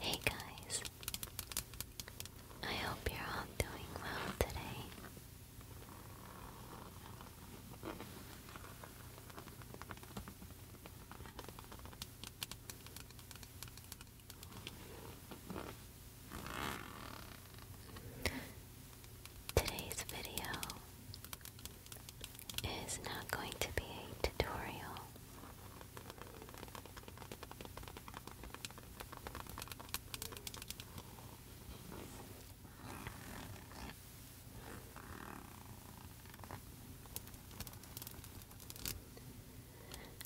Hey guys, I hope you're all doing well today. Today's video is not going to be a tutorial.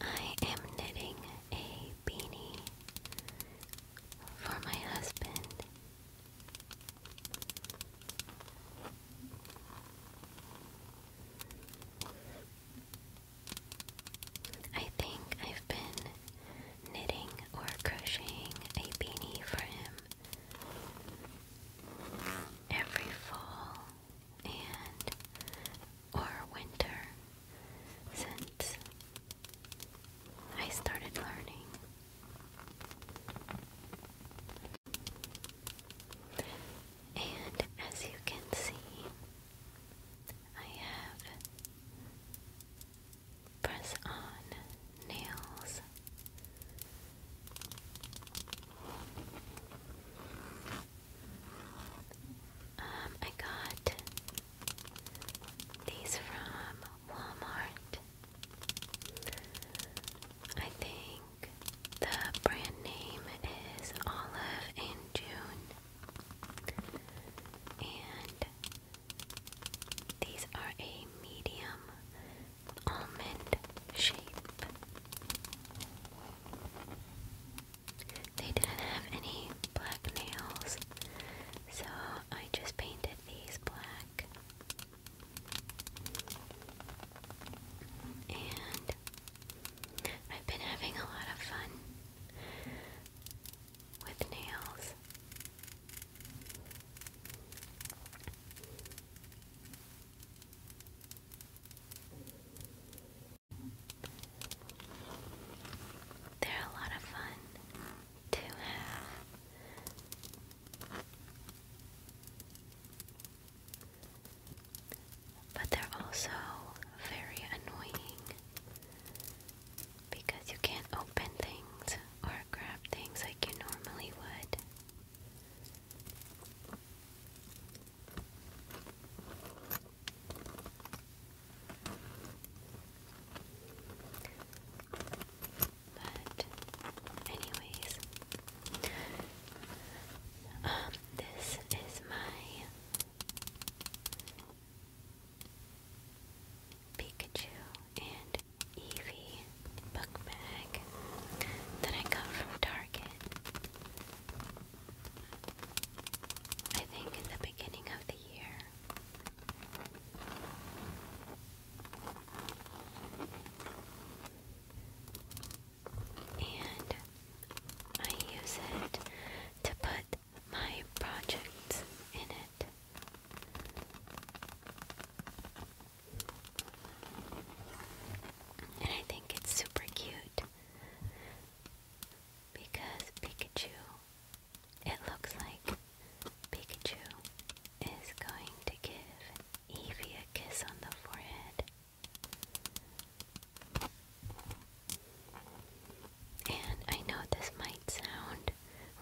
I am knitting a beanie for my husband. I think I've been knitting or crocheting a beanie for him every fall and or winter since I started learning. And as you can see, I have press on nails. Um, I got these from Walmart. I think the brand name is Olive and June. And these are a medium almond shape. They didn't have any black nails, so I just painted these black. And I've been having a lot of fun with nails. They're a lot of fun to have, but they're also very annoying because you can't open things or grab things like you normally would. But, anyways, um, this is my Pikachu and Eevee book bag that I got from Target. I think in the beginning of the year. And I use it to put my projects in it. And I think it's super cute because Pikachu, it looks like Pikachu is going to give Evie a kiss on the forehead. And I know this might sound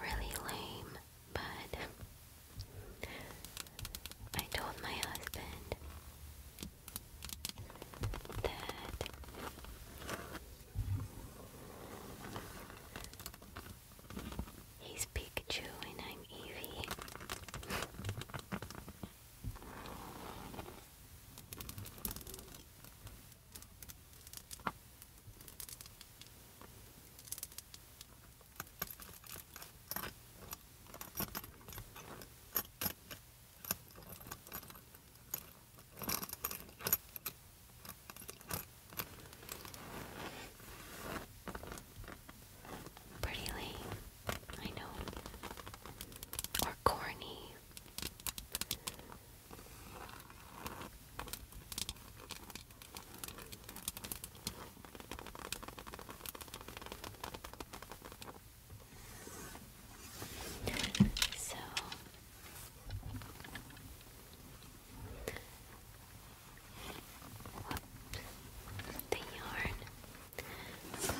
really lame, but I told my husband that he's Pikachu and I'm Evie. Pretty lame, I know. Or corny. So whoops, the yarn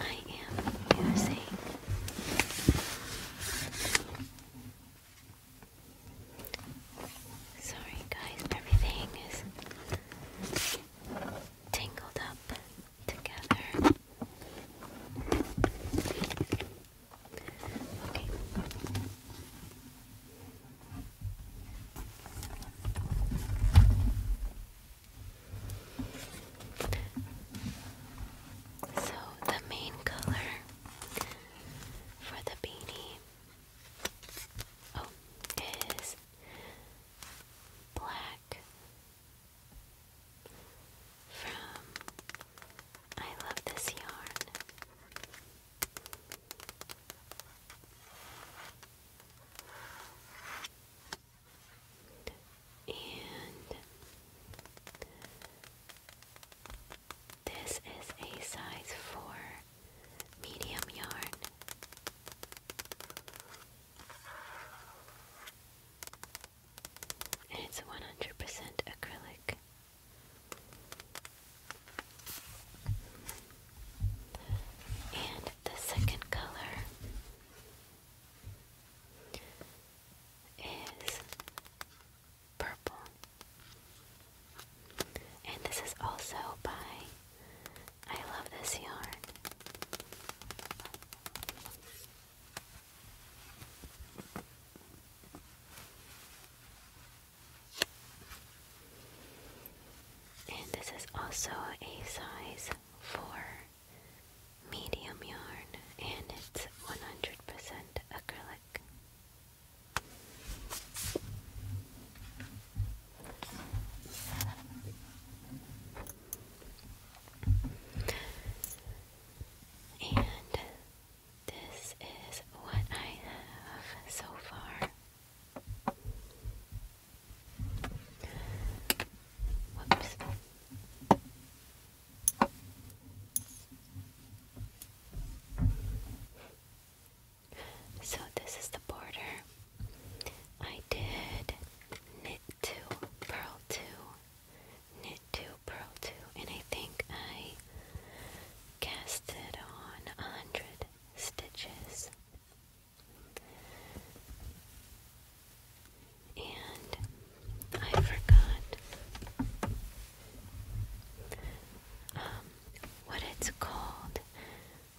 I am using Sorry guys, everything is tangled up together. Okay. So, the main color for the beanie oh, is black from I Love This Yarn. And this is a size 4 medium yarn. And it's 100% acrylic. And the second color is purple. And this is also by I love this yarn. And this is also a size 4 medium yarn, and it's 100% acrylic. And this is what I have so far. So this is the border. I did knit 2, purl 2, knit 2, purl 2, and I think I casted on 100 stitches. And I forgot um, what it's called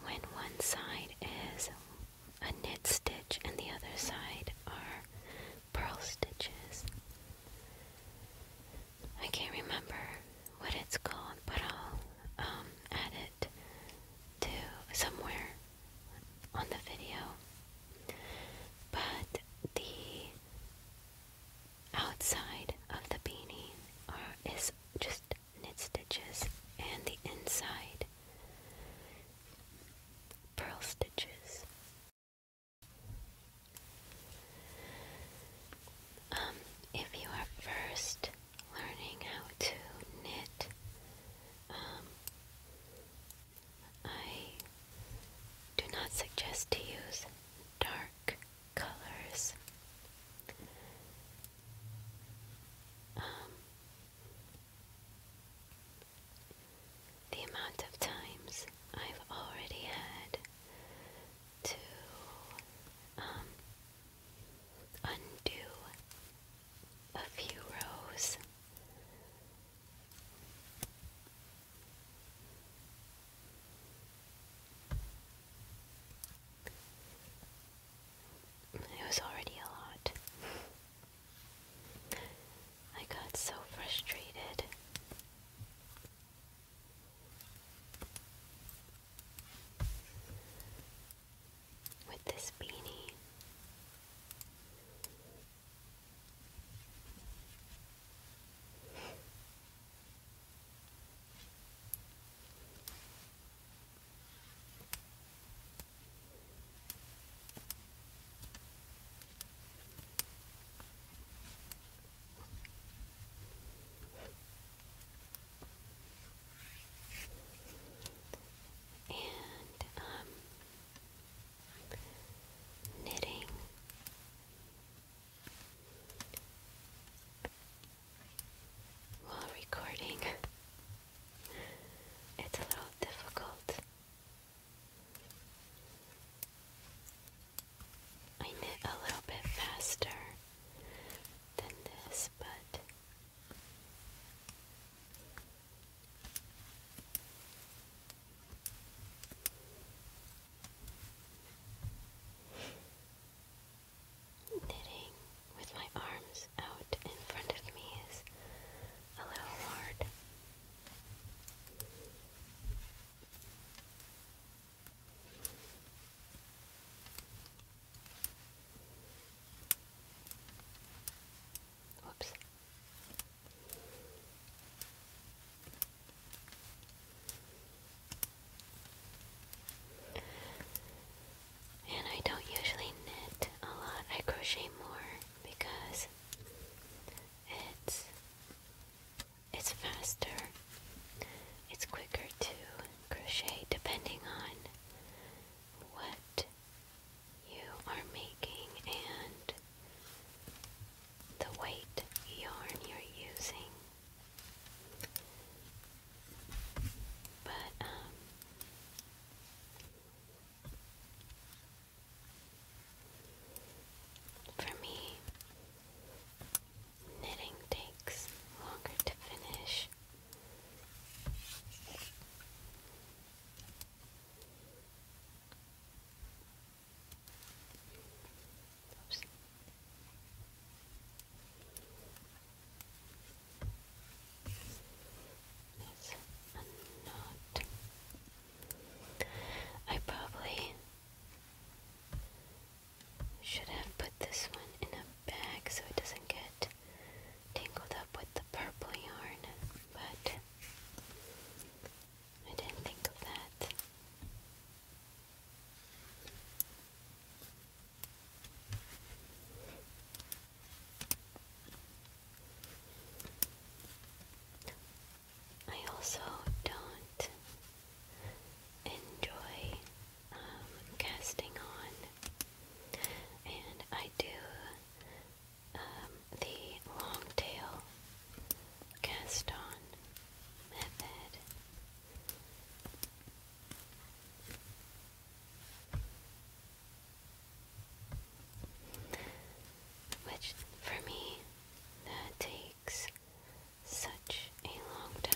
when one side is a knit stitch and the other side are purl stitches. I can't remember what it's called, but I'll um, add it to somewhere on the video. But the outside of the beanie are, is just knit stitches, and the inside pearl stitches. Um, if you are first learning how to knit, um, I do not suggest to use dark colors. Um, the amount of times I've already had to um, undo a few rows. It was already a lot. I got so frustrated. With this beanie, and um, knitting. While recording it's a little difficult. I knit a little bit faster than this, but knitting with my arms out in front of me is a little hard. Whoops. And I don't usually knit a lot, I crochet more because it's it's faster. It's quicker to crochet depending on what you are making and the weight yarn you're using. But, um, for me, knitting takes longer to finish. I probably should have put this one in a bag so it doesn't get tangled up with the purple yarn, but I didn't think of that. I also don't enjoy um, casting on, and I do um, the long tail cast on method. Which for me, that takes such a long time.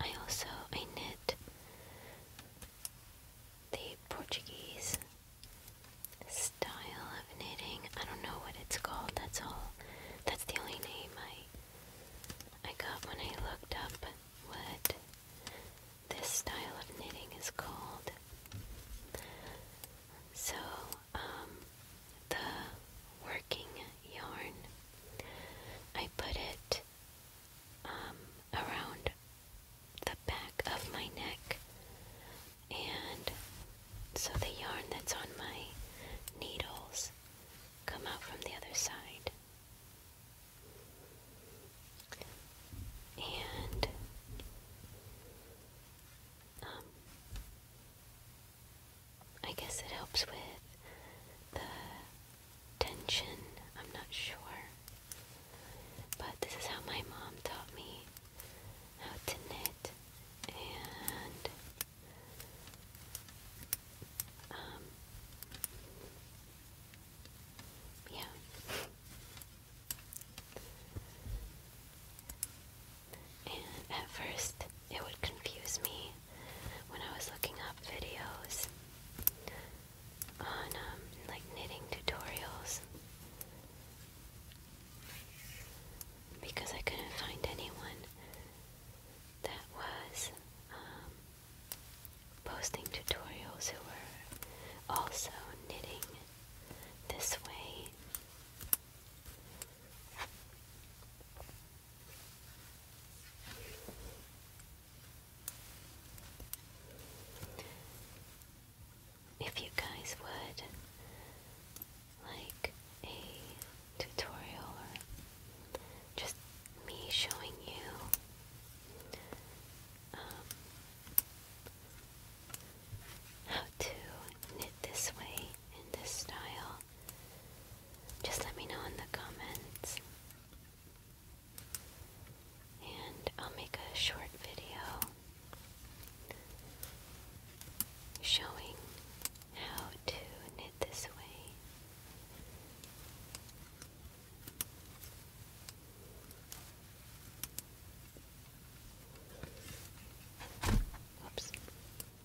I also I knit the Portuguese style of knitting. I don't know what it's called. That's all. That's the only name I I got when I looked up what this style of knitting is called. So, um, the working yarn, I put it um, around the back of my neck. And so the yarn that's on my needles come out from the other side. And um, I guess it helps with the tension, I'm not sure. But this is how my mom taught me how to knit, and um, yeah. And at first, it would confuse me when I was looking up videos on um, like knitting tutorials because I couldn't find anyone that was um, posting tutorials who were also knitting this way. If you guys would like a tutorial or just me showing you um, how to knit this way in this style, just let me know in the comments. And I'll make a short video showing how to knit this way. Oops.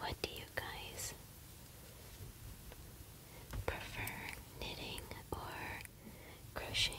What do you guys prefer, knitting or crocheting?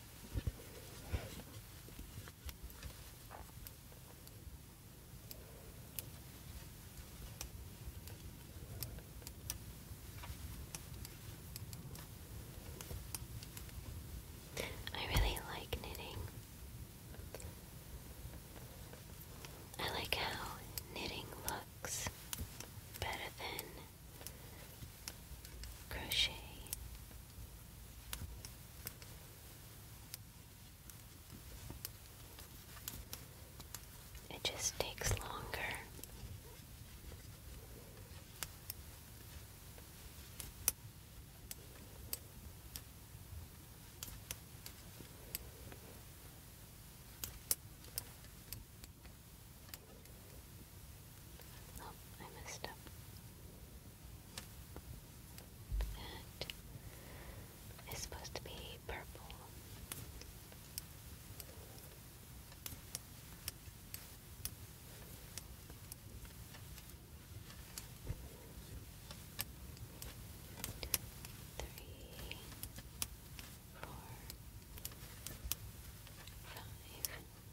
I really like knitting. I like how knitting looks better than crochet it just takes longer Oh, I messed up. That is supposed to be purple. Three, four, five.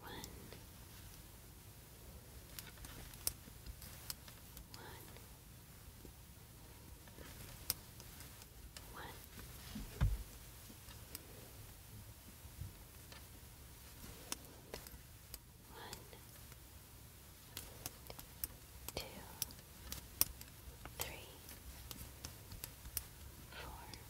one, one, one. One, two, three, four,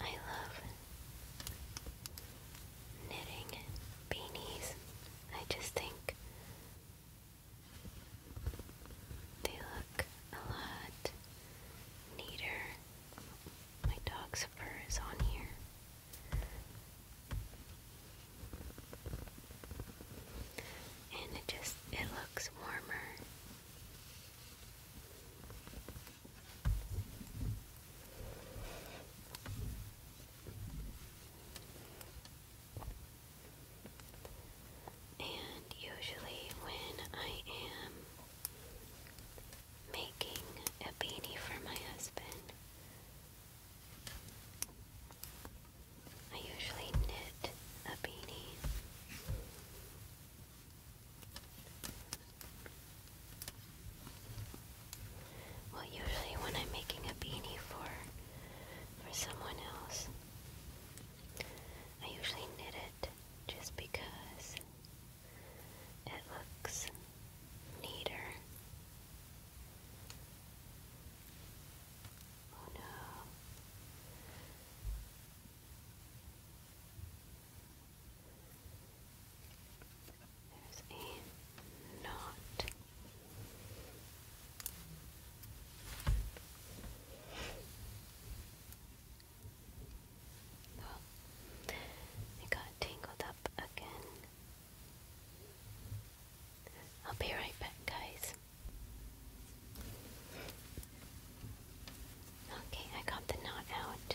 I love knitting beanies. I just think they look a lot neater. My dog's fur is on here. And it just it looks warmer. And usually, when I am making a beanie for my husband, I usually knit a beanie. Well, usually when I'm making a beanie for for someone else, I usually knit it just because it looks neater. Oh no. There's a knot. it got tangled up again. I'll be right back, guys. Okay, I got the knot out.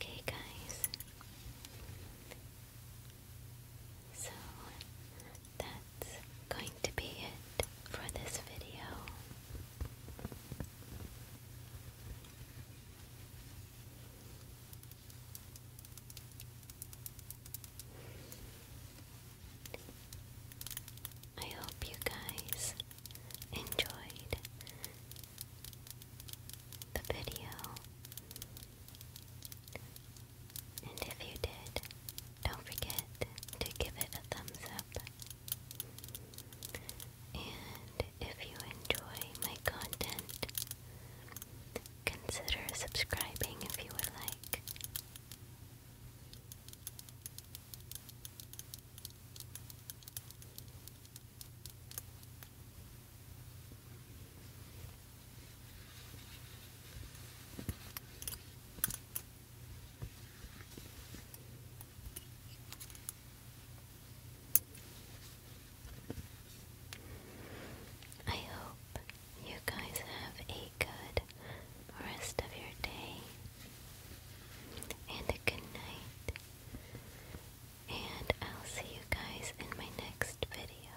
Okay, guys. So that's going to be it for this video. I hope you guys enjoyed the video. And if you did, don't forget to give it a thumbs up and if you enjoy my content, consider subscribing if you would like. I hope you guys have a good rest of your day and a good night. And I'll see you guys in my next video.